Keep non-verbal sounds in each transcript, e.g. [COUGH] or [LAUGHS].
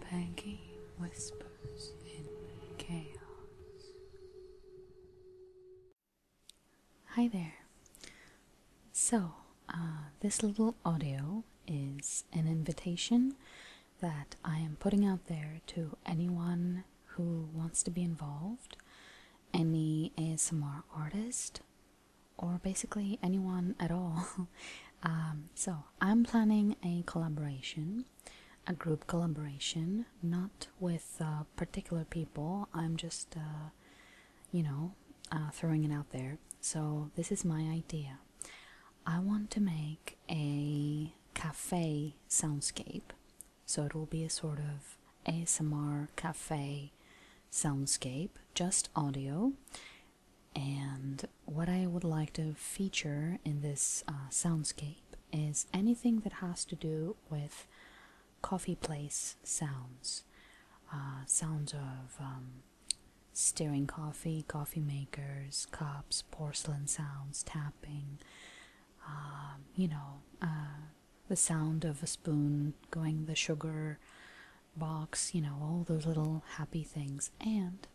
Peggy whispers Hi there. So, uh, this little audio is an invitation that I am putting out there to anyone who wants to be involved, any ASMR artist or basically anyone at all. [LAUGHS] Um, so, I'm planning a collaboration, a group collaboration, not with uh, particular people, I'm just, uh, you know, uh, throwing it out there. So, this is my idea. I want to make a cafe soundscape, so it will be a sort of ASMR cafe soundscape, just audio. And what I would like to feature in this uh, soundscape is anything that has to do with coffee place sounds, uh, sounds of um, stirring coffee, coffee makers, cups, porcelain sounds, tapping, um, you know, uh, the sound of a spoon going the sugar box, you know, all those little happy things. And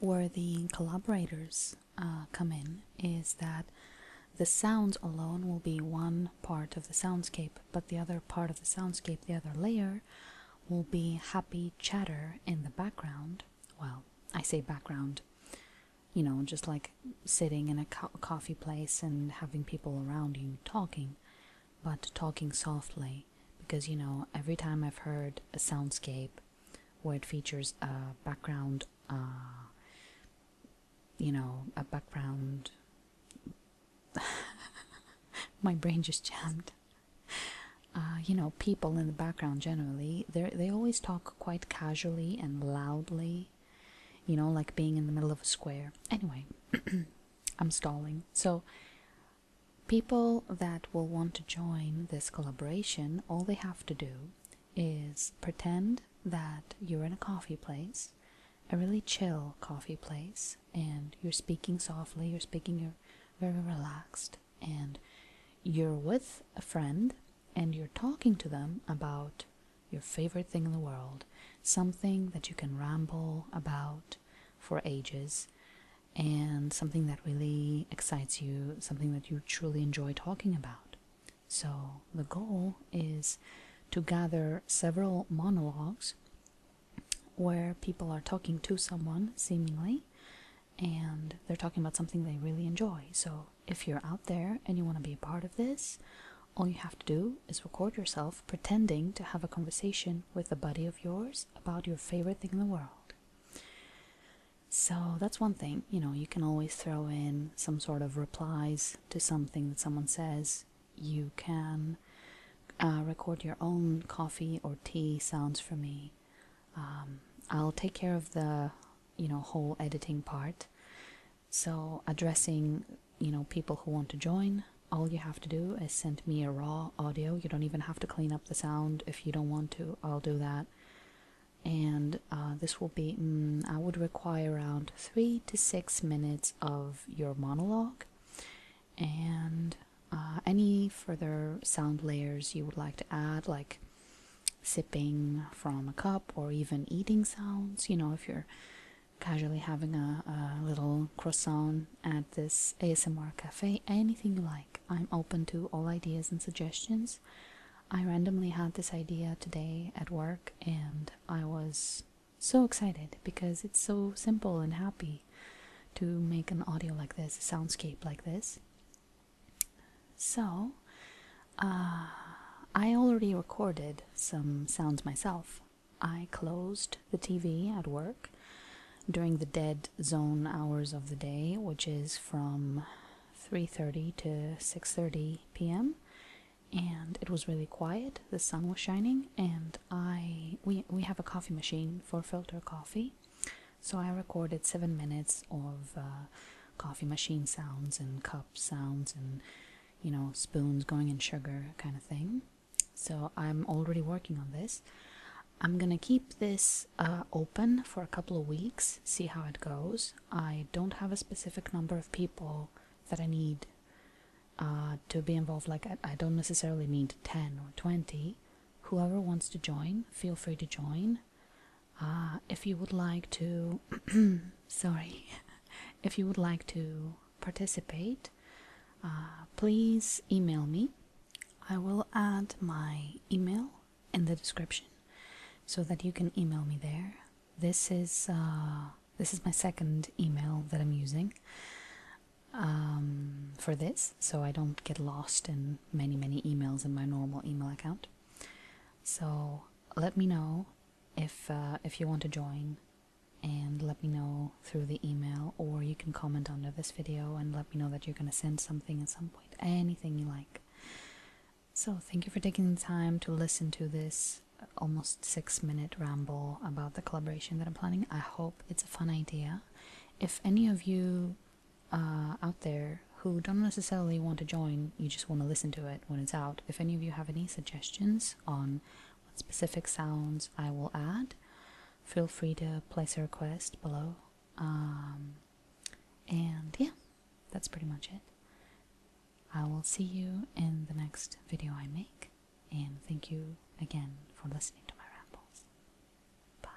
where the collaborators uh, come in is that the sounds alone will be one part of the soundscape, but the other part of the soundscape, the other layer, will be happy chatter in the background. Well, I say background, you know, just like sitting in a coffee place and having people around you talking but talking softly because you know, every time I've heard a soundscape where it features a background, uh, you know, a background. [LAUGHS] My brain just jammed. Uh, you know, people in the background generally, they they always talk quite casually and loudly, you know, like being in the middle of a square. Anyway, [CLEARS THROAT] I'm stalling. So, people that will want to join this collaboration, all they have to do is pretend that you're in a coffee place, a really chill coffee place, and you're speaking softly, you're speaking you're very relaxed, and you're with a friend and you're talking to them about your favorite thing in the world, something that you can ramble about for ages, and something that really excites you, something that you truly enjoy talking about. So, the goal is to gather several monologues where people are talking to someone, seemingly, and they're talking about something they really enjoy. So, if you're out there and you want to be a part of this, all you have to do is record yourself pretending to have a conversation with a buddy of yours about your favorite thing in the world. So that's one thing, you know, you can always throw in some sort of replies to something that someone says. You can uh, record your own coffee or tea sounds for me. Um, I'll take care of the, you know, whole editing part. So addressing, you know, people who want to join, all you have to do is send me a raw audio. You don't even have to clean up the sound if you don't want to. I'll do that. And uh, this will be, mm, I would require around three to six minutes of your monologue and uh, any further sound layers you would like to add, like sipping from a cup or even eating sounds. You know, if you're casually having a, little croissant at this ASMR cafe, anything you like. I'm open to all ideas and suggestions. I randomly had this idea today at work and I was so excited because it's so simple and happy to make an audio like this, a soundscape like this. So, uh, I already recorded some sounds myself. I closed the TV at work during the dead zone hours of the day, which is from 3:30 to 6:30 p.m. and it was really quiet. The sun was shining and I we we have a coffee machine for filter coffee. So I recorded 7 minutes of uh, coffee machine sounds and cup sounds and you know spoons going in sugar kind of thing so i'm already working on this i'm gonna keep this uh, open for a couple of weeks see how it goes i don't have a specific number of people that i need uh, to be involved like I, I don't necessarily need 10 or 20 whoever wants to join feel free to join uh, if you would like to [CLEARS THROAT] sorry [LAUGHS] if you would like to participate uh, please email me i will add my email in the description so that you can email me there this is uh, this is my second email that i'm using um, for this so i don't get lost in many many emails in my normal email account so let me know if uh, if you want to join and let me know through the email or you can comment under this video and let me know that you're going to send something at some point anything you like so thank you for taking the time to listen to this uh, almost six minute ramble about the collaboration that i'm planning i hope it's a fun idea if any of you uh, out there who don't necessarily want to join, you just want to listen to it when it's out. If any of you have any suggestions on what specific sounds I will add, feel free to place a request below. Um, and yeah, that's pretty much it. I will see you in the next video I make, and thank you again for listening to my rambles. Bye.